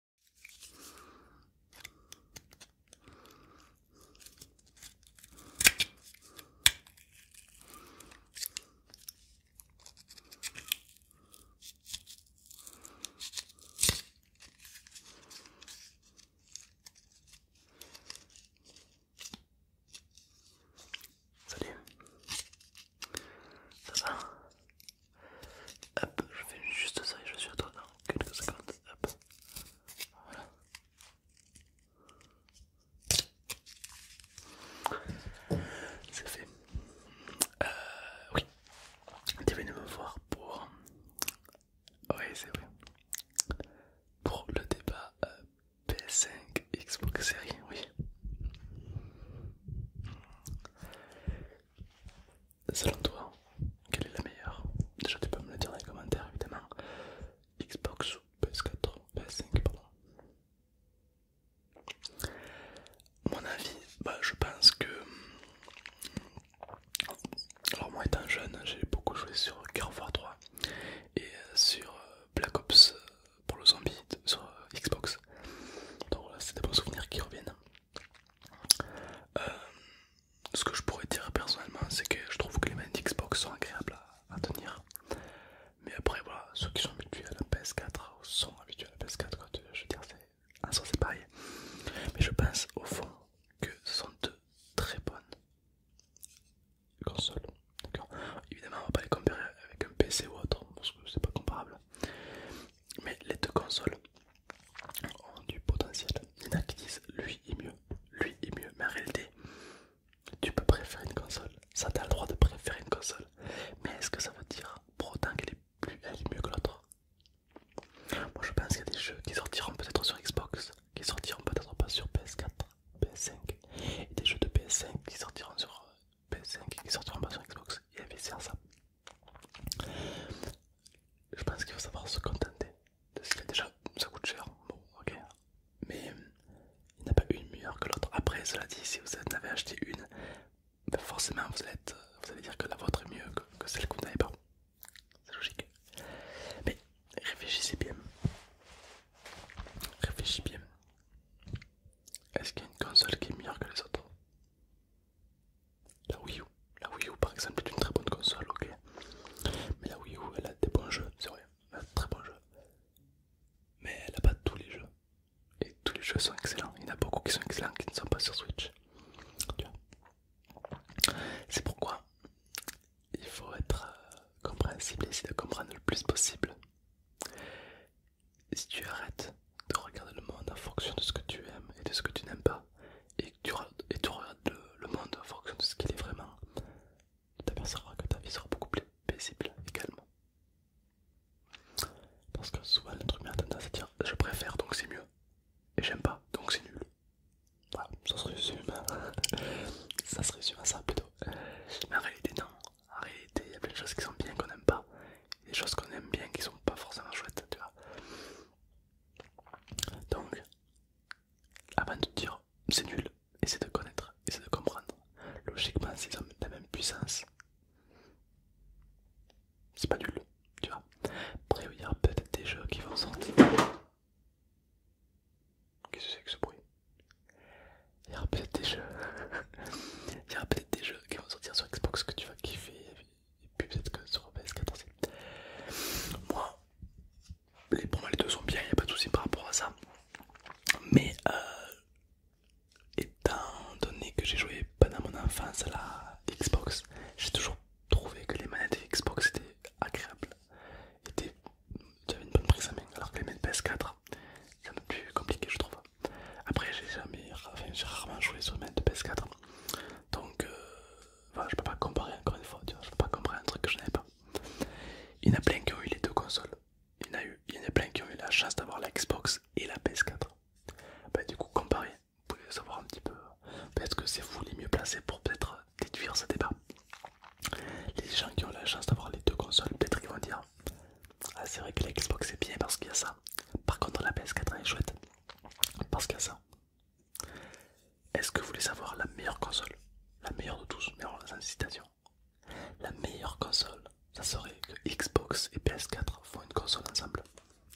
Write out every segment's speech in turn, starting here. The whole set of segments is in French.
Salut, ça va Hop, je fais juste ça et je suis à toi dans quelques secondes. C'est fait. Euh, oui. Tu venu me voir pour... Oui, c'est vrai. Pour le débat euh, PS5 Xbox Series, oui. Selon toi, quelle est la meilleure Déjà, tu peux me le dire dans les commentaires, évidemment. Xbox ou PS4, PS5, pardon. Mon avis, bah, je pense que. Alors, moi étant jeune, j'ai beaucoup joué sur Gear of War 3 et euh, sur euh, Black Ops euh, pour le zombie sur Xbox. Donc, voilà, c'est des bons souvenirs qui reviennent. Euh, ce que je pourrais dire personnellement, c'est que je trouve que les mains d'Xbox sont agréables à, tenir. Mais après, voilà, ceux qui sont habitués à la PS4 ou sont habitués à la PS4, je veux dire, en soi c'est pareil. Mais je pense au fond que ce sont deux très bonnes consoles. Évidemment, on va pas les comparer avec un PC ou autre parce que c'est pas comparable mais les deux consoles ont du potentiel. Il y en a qui disent lui est mieux, lui est mieux, mais en réalité, tu peux préférer une console, ça t'a le droit de préférer une console, mais est-ce que ça veut dire pour autant qu'elle est plus mieux que l'autre Moi je pense qu'il y a des jeux qui sortiront peut-être sur Xbox, qui sortiront peut-être pas sur PS4, PS5, et des jeux de PS5 qui sortiront sur PS5 qui sortiront pas sur Xbox, et vice versa. Je pense qu'il faut savoir se contenter de ce qu'il y a déjà. Ça coûte cher, bon, ok. Mais il n'y a pas une meilleure que l'autre. Après, cela dit, si vous en avez acheté une, ben forcément vous allez, vous allez dire que la vôtre est mieux que, celle que vous n'avez pas. C'est logique. Mais réfléchissez bien. réfléchissez bien. Est-ce qu'il y a une console qui est meilleure que les autres la Wii U, la Wii U par exemple est une très bonne console, ok. Mais la Wii U elle a des bons jeux, c'est vrai, très bons jeux. Mais elle n'a pas tous les jeux. Et tous les jeux sont excellents. Il y en a beaucoup qui sont excellents qui ne sont pas sur Switch. C'est pourquoi il faut être euh, compréhensible et essayer de comprendre le plus possible. si tu arrêtes de regarder le monde en fonction de ce que tu aimes et de ce que tu n'aimes pas, et tu, regardes le, monde en fonction de ce qu'il est vraiment, tu t'apercevras que ta vie sera beaucoup plus paisible également Parce que souvent le truc m'a tendance à dire je préfère donc c'est mieux et j'aime pas donc c'est nul. ça se résume, ça à ça plutôt. Mais en réalité non, en réalité il y a plein de choses qui sont bien qu'on aime pas, et des choses qu'on aime bien qui sont pas forcément chouettes, tu vois. Donc, avant de dire c'est nul, essaie de connaître, essaie de comprendre. Logiquement, s'ils ont la même puissance, c'est pas nul, tu vois. Après, il y aura peut-être des jeux qui vont sortir. Qu'est-ce que c'est que ce bruit Il y aura peut-être des jeux. il y aura peut-être des jeux qui vont sortir sur Xbox que tu vas kiffer, et puis peut-être que sur PS4 aussi. Moi, pour moi les deux sont bien, il n'y a pas de soucis par rapport à ça. Mais euh, étant donné que j'ai joué pendant mon enfance à la Xbox, j'ai toujours trouvé que les manettes Xbox étaient agréables. Étaient, j'avais une bonne prise en main, alors que les manettes PS4, c'est un peu plus compliqué je trouve. Après j'ai jamais, enfin, j'ai rarement joué sur une manettes PS4. Donc, euh, je peux pas comparer encore une fois, tu vois, je peux pas comparer un truc que je n'avais pas. Il y en a plein qui ont eu les deux consoles. Il y en a, eu, plein qui ont eu la chance d'avoir la Xbox et la PS4. Bah, du coup, comparer, vous pouvez savoir un petit peu. Euh, peut-être que c'est vous les mieux placés pour peut-être euh, déduire ce débat. Les gens qui ont la chance d'avoir les deux consoles, peut-être qu'ils vont dire Ah, c'est vrai que la Xbox est bien parce qu'il y a ça. Par contre, la PS4 est chouette parce qu'il y a ça. Est-ce que vous voulez savoir la meilleure console La meilleure de tous, mais va sans citation. La meilleure console, ça serait que Xbox et PS4 font une console ensemble.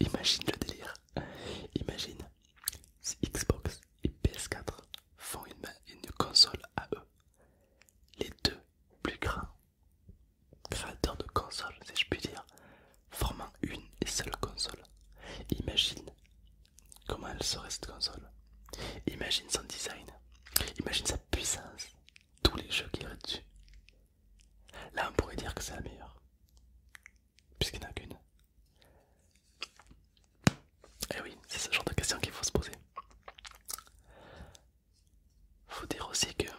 Imagine le délire. Imagine si Xbox et PS4 font une, une console à eux. Les deux plus grands créateur de console, si je puis dire, formant une et seule console. Imagine comment elle serait cette console. Imagine son design. Imagine sa puissance. Tous les jeux qu'il y aurait dessus. Là, on pourrait dire que c'est la meilleure. Puisqu'il n'y en a qu'une. Et eh oui, c'est ce genre de question qu'il faut se poser. Faut dire aussi que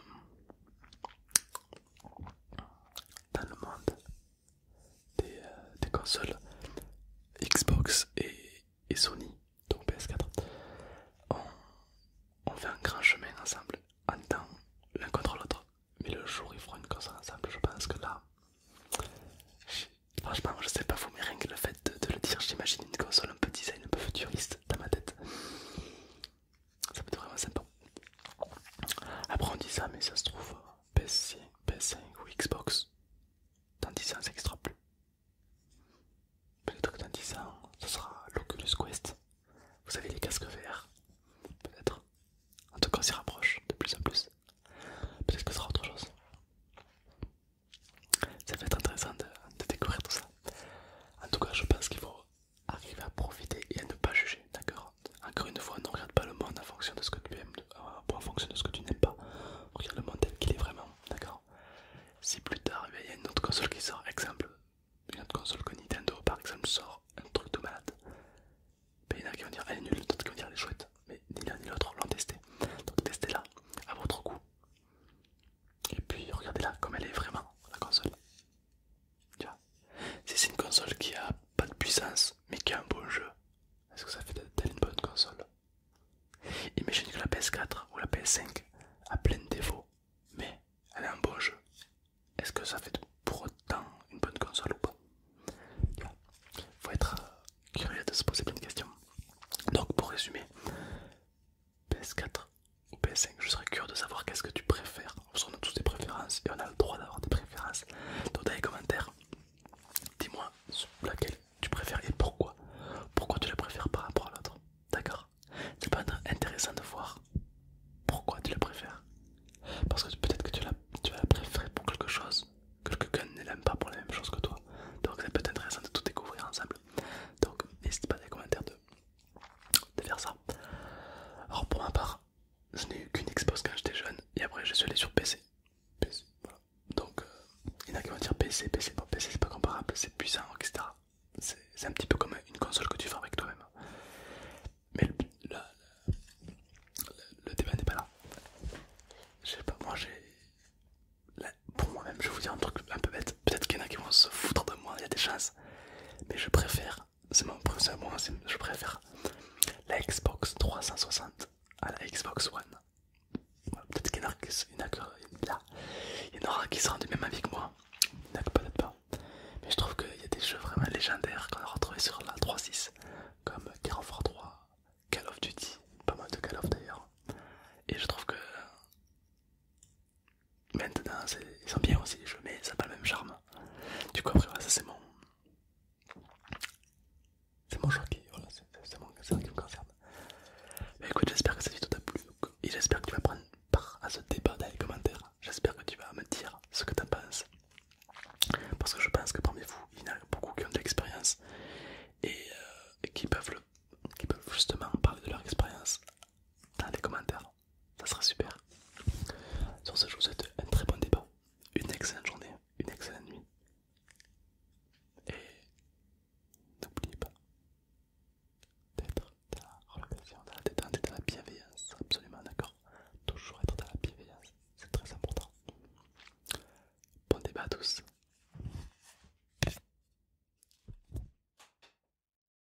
dans le monde des, euh, consoles Xbox et, Sony, donc PS4, on, fait un grand chemin ensemble en temps l'un contre l'autre. Mais le jour où ils feront une console ensemble, je pense que là, franchement, je sais pas vous, mais rien que le fait de, de le dire, j'imagine une console un peu design, un peu futuriste dans ma tête. Ça peut être vraiment sympa. Après on dit ça, mais ça se trouve PS5, PS5 ou Xbox. Dans 10 ans, ça n'existera plus. Peut-être que dans 10 ans, ça hein. sera l'Oculus Quest. Vous savez, les casques verts. Peut-être. En tout cas, on s'y rapproche de plus en plus. Peut-être que ce sera autre chose. Ça va être intéressant de découvrir tout ça. En tout cas, je pense qu'il faut Arrive à profiter et à ne pas juger, d'accord Encore une fois, ne regarde pas le monde en fonction de ce que tu aimes, ou euh, en fonction de ce que tu n'aimes pas. Regarde le monde tel qu'il est vraiment, d'accord Si plus tard, il y a une autre console qui sort, exemple, une autre console que Nintendo par exemple sort un truc de malade, ben, il y en a qui vont dire elle est nulle, d'autres qui vont dire elle est chouette, mais ni l'un ni l'autre l'ont testé. Donc testez-la à votre goût. Et puis regardez-la comme elle est vraiment, la console. Si c'est une console qui a pas de puissance mais qui a un bon jeu, est-ce que ça fait une bonne console Imagine que la PS4 ou la PS5 a plein de défauts, mais elle a un bon jeu. Est-ce que ça fait pour autant une bonne console ou pas Faut être euh, curieux de se poser plein de questions. Donc pour résumer, PS4 ou 5 je serais curieux de savoir qu'est-ce que tu préfères. On a tous des préférences et on a le droit d'avoir des préférences. Donc dans les commentaires, dis-moi laquelle tu préfères et pourquoi. Pourquoi tu la préfères par rapport à l'autre. D'accord C'est peut être intéressant de voir pourquoi tu la préfères. Parce que peut-être que tu, tu vas la préférer pour quelque chose, quelqu'un ne l'aime pas pour la même chose que toi. Donc ça peut être intéressant de tout découvrir ensemble. Donc n'hésite pas à les commentaires de de faire ça. Alors pour ma part, je n'ai eu qu'une Xbox quand j'étais jeune et après je suis allé sur PC. Donc euh, il y en a qui vont dire PC, PC, pas PC, c'est pas comparable, c'est puissant, etc. C'est un petit peu comme une console que tu avec toi-même. Mais le, débat n'est pas là. Je sais pas, moi j'ai. Pour moi-même, je vais vous dire un truc un peu bête. Peut-être qu'il y en a qui vont se foutre de moi, il y a des chances. Mais je préfère c'est mon préféré, moi je préfère la Xbox 360 à la Xbox One. peut-être qu'il y en aura qui seront du même avis que moi, peut-être pas. Mais je trouve qu'il y a des jeux vraiment légendaires qu'on a retrouvés sur la 3.6, comme Gear of 3, Call of Duty, pas mal de Call of d'ailleurs. Et je trouve que Maintenant, ils sont bien aussi mais ça n'a pas le même charme. Du coup, après, ça c'est mon. C'est mon voilà, c'est qui me concerne. écoute, j'espère que cette vidéo t'a plu et j'espère que tu vas prendre part à ce débat dans les commentaires. J'espère que tu vas me dire ce que en penses. Parce que je pense que parmi vous, il y en a beaucoup qui ont de l'expérience et euh, qui peuvent justement parler de leur expérience dans les commentaires ça sera super. Sur ce, je vous souhaite un très bon débat, une excellente journée, une excellente nuit. Et n'oubliez pas d'être dans la relation, dans la détente et dans la bienveillance, absolument d'accord. Toujours être dans la bienveillance, c'est très important. Bon débat à tous.